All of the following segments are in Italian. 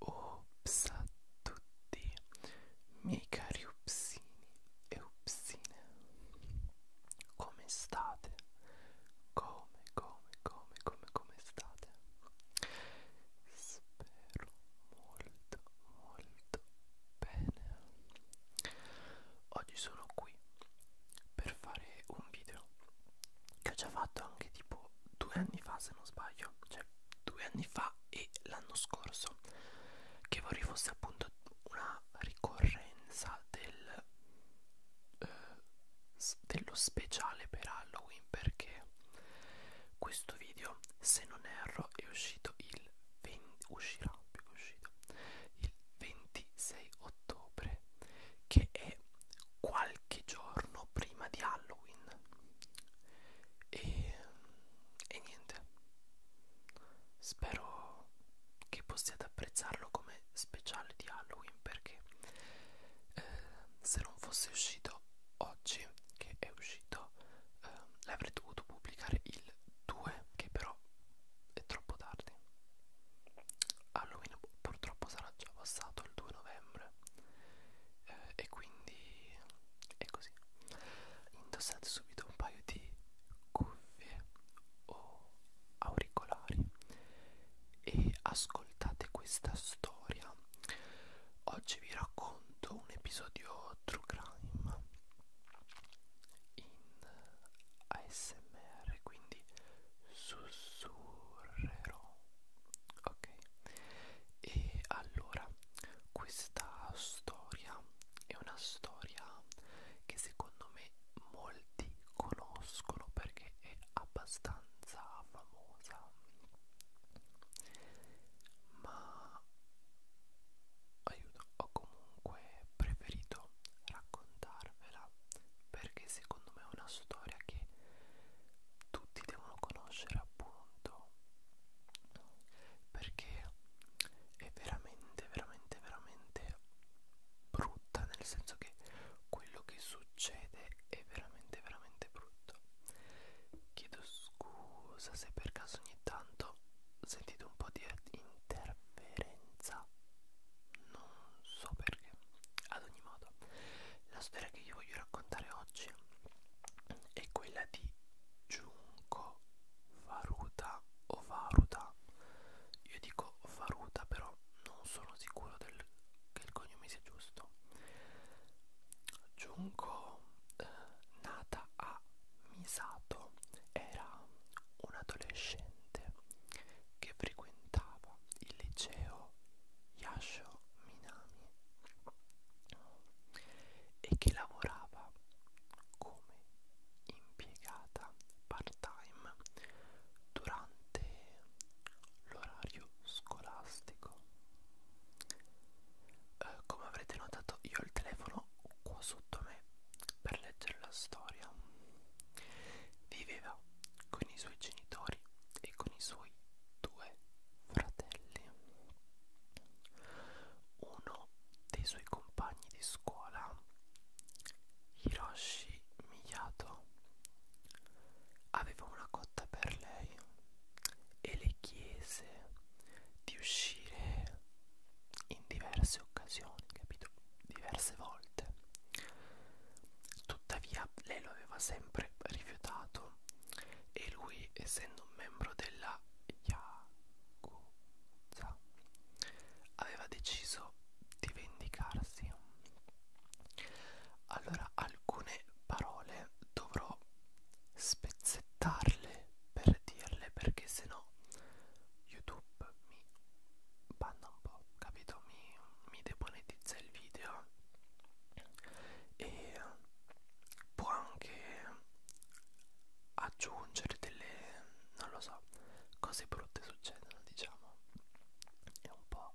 Ops a tutti, miei cari upsini e upsine, come state? Come, come, come, come, come state? Spero molto, molto, Bene, oggi sono qui per fare un video che ho già fatto anche tipo due anni fa se non sbaglio, cioè due anni fa e l'anno scorso, che vorrei fosse appunto una ricorrenza del, eh, dello speciale per Halloween perché questo video se non erro è uscito il il 20, uscirà più che uscita il 26 ottobre che è qualche giorno prima di Halloween e, e niente spero che possiate apprezzarlo come speciale di Halloween perché eh, se non fosse uscito oggi che è uscito eh, l'avrei dovuto pubblicare il 2 che però è troppo tardi Halloween purtroppo sarà già passato il 2 novembre eh, e quindi è così indossate subito un paio di cuffie o auricolari e ascoltate questa storia oggi vi racconto un episodio video True Crime in ASMR, quindi sussurrerò. Ok. E allora questa storia è una storia che secondo me molti conoscono perché è abbastanza famosa ma aiuto ho comunque preferito raccontarvela perché secondo me è una storia che tutti devono conoscere appunto perché è veramente veramente veramente brutta nel senso che quello che succede è veramente veramente brutto Chiedo scusa se per caso ogni tanto sentite un po' di interferenza. Non so perché. Ad ogni modo, la storia che io voglio raccontare oggi è quella di Giunco Varuta o Varuta. Io dico Varuta, però non sono sicuro del, che il cognome sia giusto. Junko eh, nata a Misato era un adolescente che frequentava il liceo Yasho Minami e che lavorava come impiegata part-time durante l'orario scolastico eh, come avrete notato io ho il telefono qua sotto me per leggere la storia viveva con i suoi genitori e con i suoi due fratelli uno dei suoi compagni di scuola Hiroshi Miyato aveva una cotta per lei e le chiese di uscire in diverse occasioni, capito? Diverse volte. Tuttavia lei lo aveva sempre rifiutato e lui, essendo un membro della Yakuza, aveva deciso di vendicarsi. Allora alcune parole dovrò spezzettare aspettarle per dirle perché sennò YouTube mi banna un po', capito? Mi, mi demonetizza il video e può anche aggiungere delle, non lo so, cose brutte succedono, diciamo. È un po'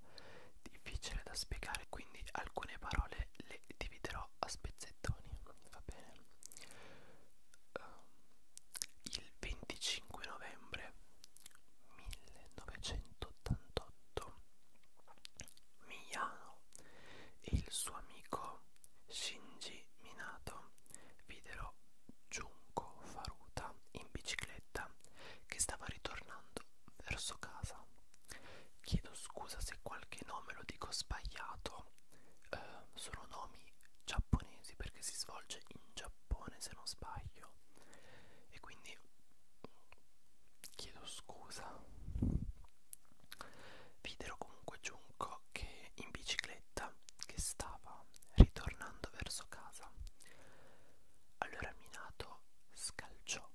difficile da spiegare, quindi alcune parole le dividerò però a spezzettoni, va bene. Um, il 25 novembre 1988 Miyano e il suo amico Shinji Minato videro Junko Faruta in bicicletta che stava ritornando verso casa. Chiedo scusa se qualche nome lo dico sbagliato. Eh, sono nomi giapponesi perché si svolge in Giappone se non sbaglio. E quindi chiedo scusa. Videro comunque Giunco che in bicicletta che stava ritornando verso casa. Allora Minato scalciò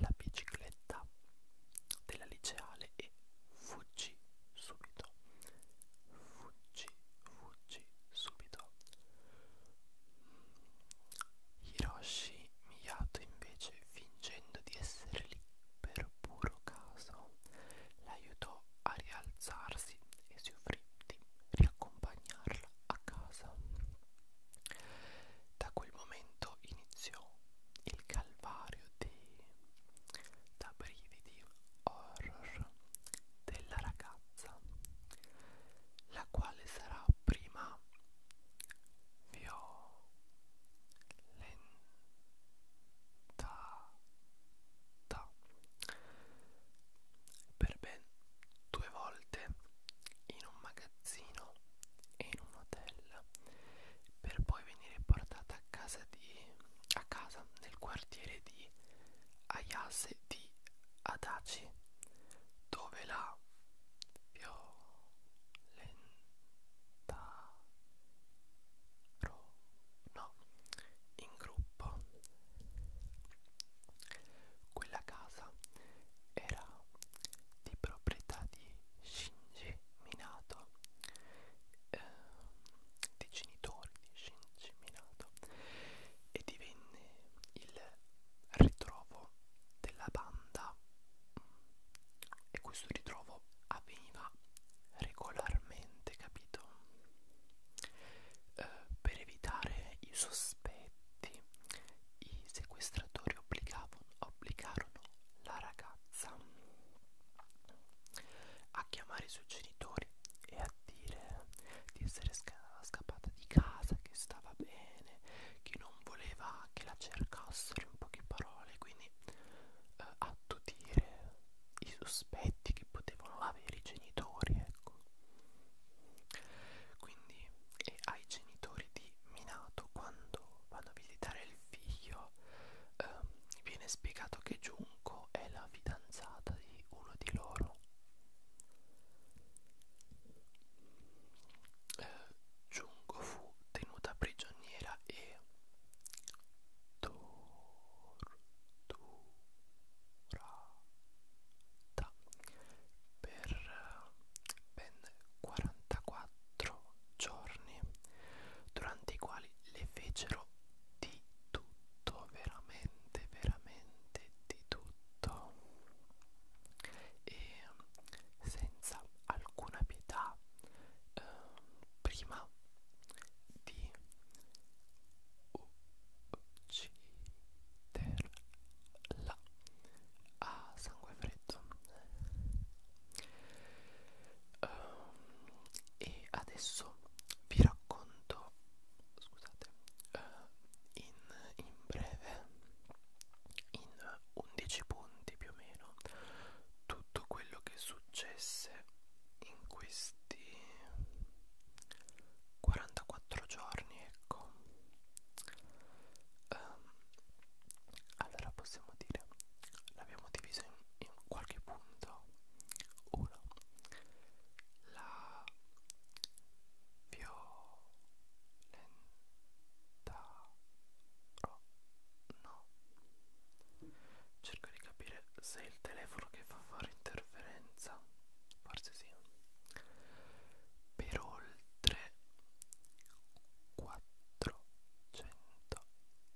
la bicicletta della liceale e fuggì subito. Fuggì, fuggì subito. Hiroshi Miyato invece, fingendo di essere lì per puro caso, l'aiutò a rialzarsi e si offrì di riaccompagnarla a casa. Da quel momento iniziò il calvario di... da brividi horror della ragazza, la quale sarà prima violentata per ben due volte in un magazzino e in un hotel per poi venire portata a casa di a casa nel quartiere di Ayase di Adachi dove la violentarono no, in gruppo quella casa era di proprietà di Shinji Minato, eh, dei genitori di Shinji Minato, e divenne il ritrovo della banda e questo ritrovo avveniva regolarmente, capito? Eh, per evitare i sospetti i sequestratori obbligarono la ragazza a chiamare i suoi genitori e a dire di essere sca scappata di casa, che stava bene, che non voleva che la cercassero in poche parole, quindi eh, attutire i sospetti che potevano avere i genitori, ecco. Quindi genitori e ai genitori di Minato quando vanno a visitare il figlio ehm, viene spiegato che Junko è la fidanzata di uno di loro eh, Junko fu tenuta prigioniera e torturata per eh, ben 44 giorni durante i quali le fecero di tutto veramente veramente di tutto e eh, senza alcuna pietà eh, prima di ucciderla a sangue freddo perfetto um, e adesso vi racconto scusate uh, in, in breve in 11 punti più o meno tutto quello che successe in questi 44 giorni ecco um, allora possiamo dire l'abbiamo diviso in, in qualche punto uno la violenta ro, no cerco di capire se è il telefono che fa fare interferenza forse sì per oltre 400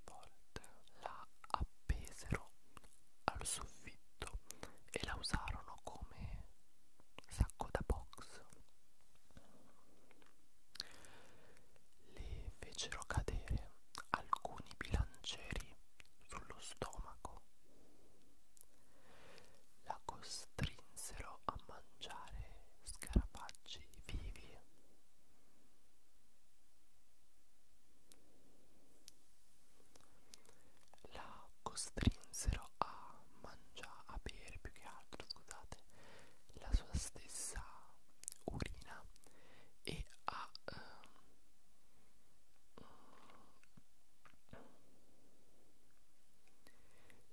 volte. La appesero al soffitto e la usarono come sacco da box. Le fecero cadere alcuni bilancieri sullo stomaco la costrinsero a mangiare scarabaggi vivi. La costrinsero a mangiare, a bere più che altro, scusate, la sua stessa urina e a um,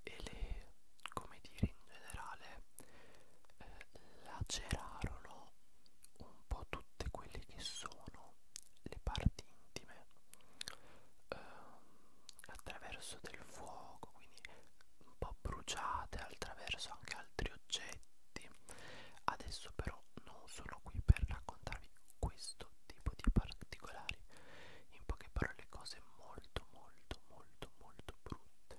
e le, come dire, in generale eh, lacerarono un po' tutte quelle che sono le parti intime eh, attraverso del fuoco, quindi un po' bruciate attraverso anche altri oggetti. Adesso però non sono qui per raccontarvi questo questo tipo di particolari in poche parole cose molto molto molto molto brutte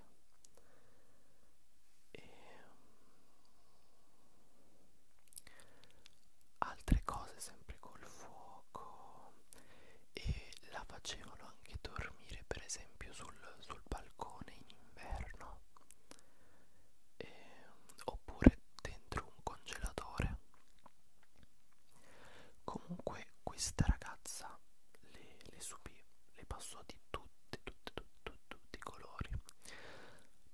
e ehm, altre cose sempre col fuoco e la facevano anche dormire per esempio sul, sul balcone in inverno e, ehm, oppure dentro un congelatore comunque questa ragazza le, le subì le passò di tutti tutti tutti tutti i colori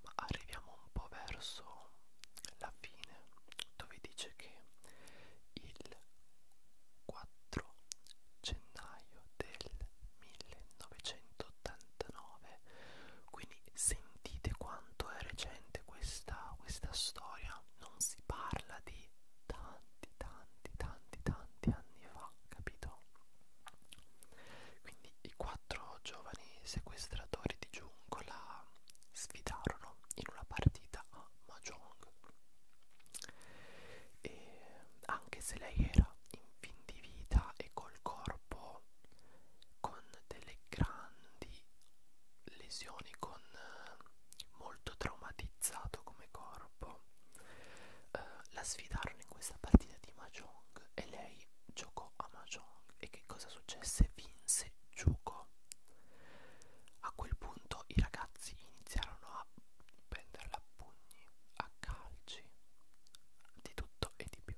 ma arriviamo un po' verso la fine dove dice che il 4 gennaio del 1989 quindi sentite quanto è recente questa, questa storia Spagna non si parla di tanti, tanti, tanti, tanti anni fa, capito? Quindi i quattro giovani sequestratori di giungla sfidarono in una partita a Mahjong e anche se lei era in fin di vita e col corpo con delle grandi quindi lesioni con eh, molto traumatizzato come corpo eh, la sfidarono in questa partita di Mahjong e lei giocò a Mahjong e che cosa successe? Vinse Giuco a quel punto i ragazzi iniziarono a prenderla a pugni, a calci, di tutto e di più.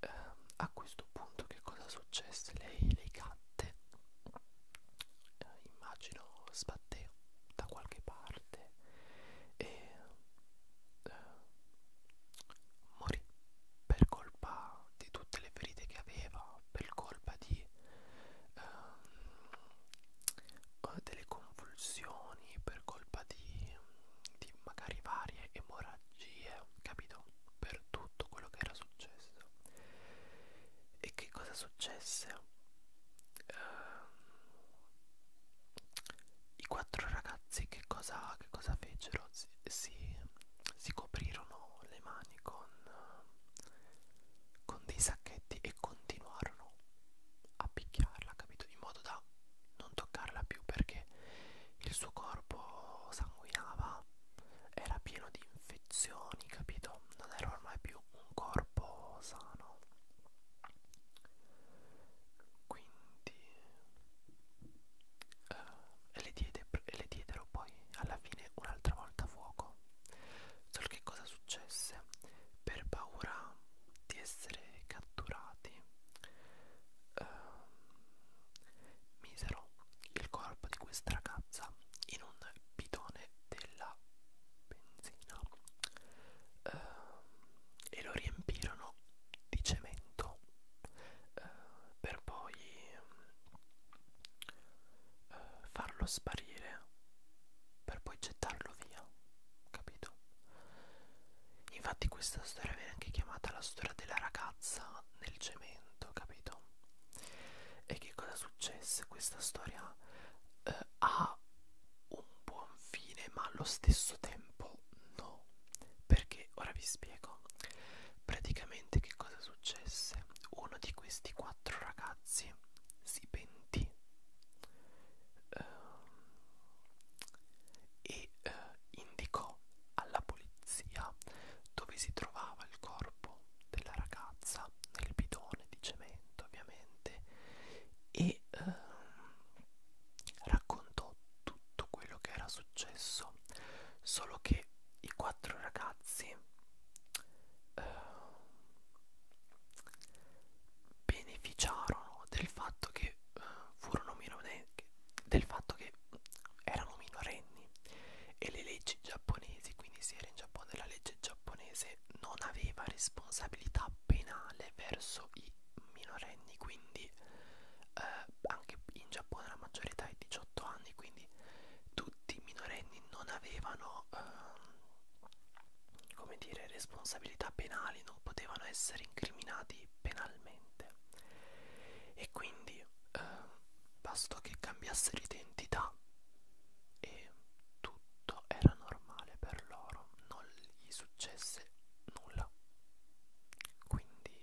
Eh, a questo punto che cosa successe? Lei, lei cadde latte eh, immagino sbatteva da qualche parte e eh, morì per colpa di tutte le ferite che aveva per colpa di ehm, eh, delle convulsioni per colpa di, di magari varie emorragie bugie, capito? Per tutto quello che era successo. E che cosa successe? Uh, I quattro ragazzi che cosa, che cosa fecero? Si, si, si coprirono le mani con, uh, con dei sacchetti e continuarono a picchiarla, capito? In modo da non toccarla più perché il suo corpo sanguinava era pieno di infezioni, capito? Non era ormai più un corpo sano. Quindi eh, le, diede, le diedero poi alla fine un'altra volta fuoco. Solo che cosa successe? Per paura di essere catturati, eh, misero il corpo di questa ragazza in un bidone della benzina eh, e lo riempirono di cemento eh, per poi eh, farlo sparire per poi gettarlo via capito infatti questa storia viene anche chiamata la storia della ragazza nel cemento momento, capito? E che cosa successe? Questa storia eh, ha un buon fine, ma allo stesso tempo no. Perché ora vi spiego. Praticamente che cosa successe? Uno di questi quattro ragazzi si pentì eh, e eh, indicò alla polizia dove si trovava il corpo della ragazza nel bidone di cemento ovviamente e ehm, raccontò tutto quello che era successo solo che i quattro ragazzi eh, beneficiarono del fatto che eh, furono minorenne, del fatto che erano minorenni e le leggi giapponesi, quindi si era in Giappone, la legge giapponese non aveva responsabilità penale verso i minorenni, quindi eh, anche in Giappone la maggior età è 18 anni, quindi tutti i minorenni non avevano eh, come dire, responsabilità penali, non potevano essere incriminati penalmente. E quindi eh, bastò che cambiassero identità e tutto era normale per loro, non gli successe nulla. Quindi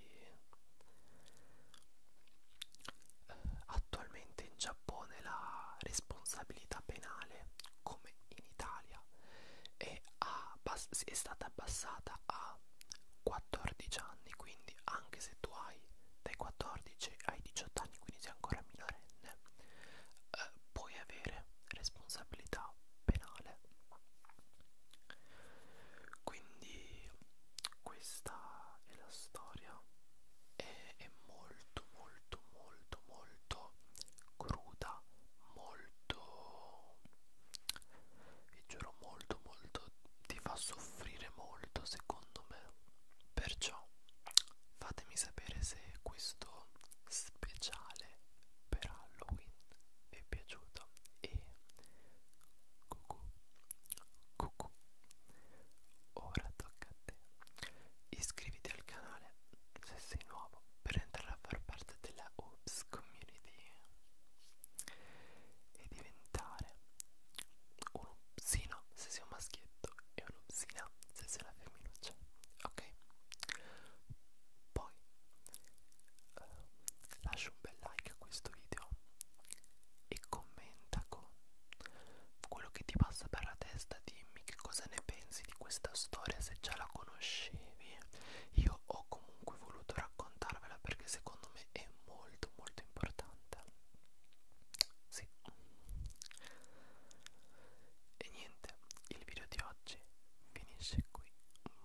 eh, attualmente in Giappone la responsabilità penale, come in Italia, è, è stata abbassata a 14 anni. Quindi quindi anche se tu hai dai 14 ai 18 anni quindi sei ancora minorenne eh, puoi avere responsabilità penale quindi questa è la storia è, è molto molto molto molto cruda molto vi giuro molto molto ti fa soffrire molto secondo me perciò fatemi sapere se questo speciale per Halloween vi è piaciuto e cucù cucù ora tocca a te iscriviti al canale se sei nuovo per entrare a far parte della Obsco community e diventare un obsino se sei un maschietto e un'obsina se sei una femminuccia ok poi eh, lascia un bel like a questo video e commenta con quello che ti passa per la testa dimmi che cosa ne pensi di questa storia se già la conoscevi io ho comunque voluto raccontarvela perché secondo me me è molto molto importante sì e niente il video di oggi finisce qui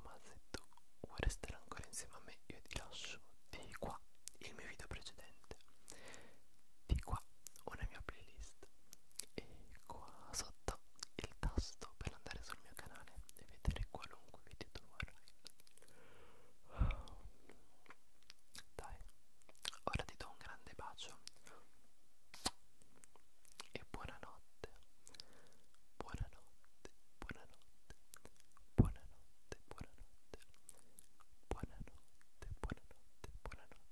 ma se tu vuoi restare ancora insieme a me io ti lascio di qua il mio video precedente di qua una mia playlist e qua sotto il tasto per andare sul mio canale e vedere qualunque video tu vorrai dai, ora ti do un grande bacio e buonanotte, buonanotte, buonanotte, buonanotte, buonanotte, buonanotte, buonanotte, buonanotte, buonanotte,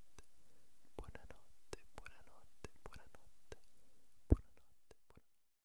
buonanotte, buonanotte, buonanotte, buonanotte.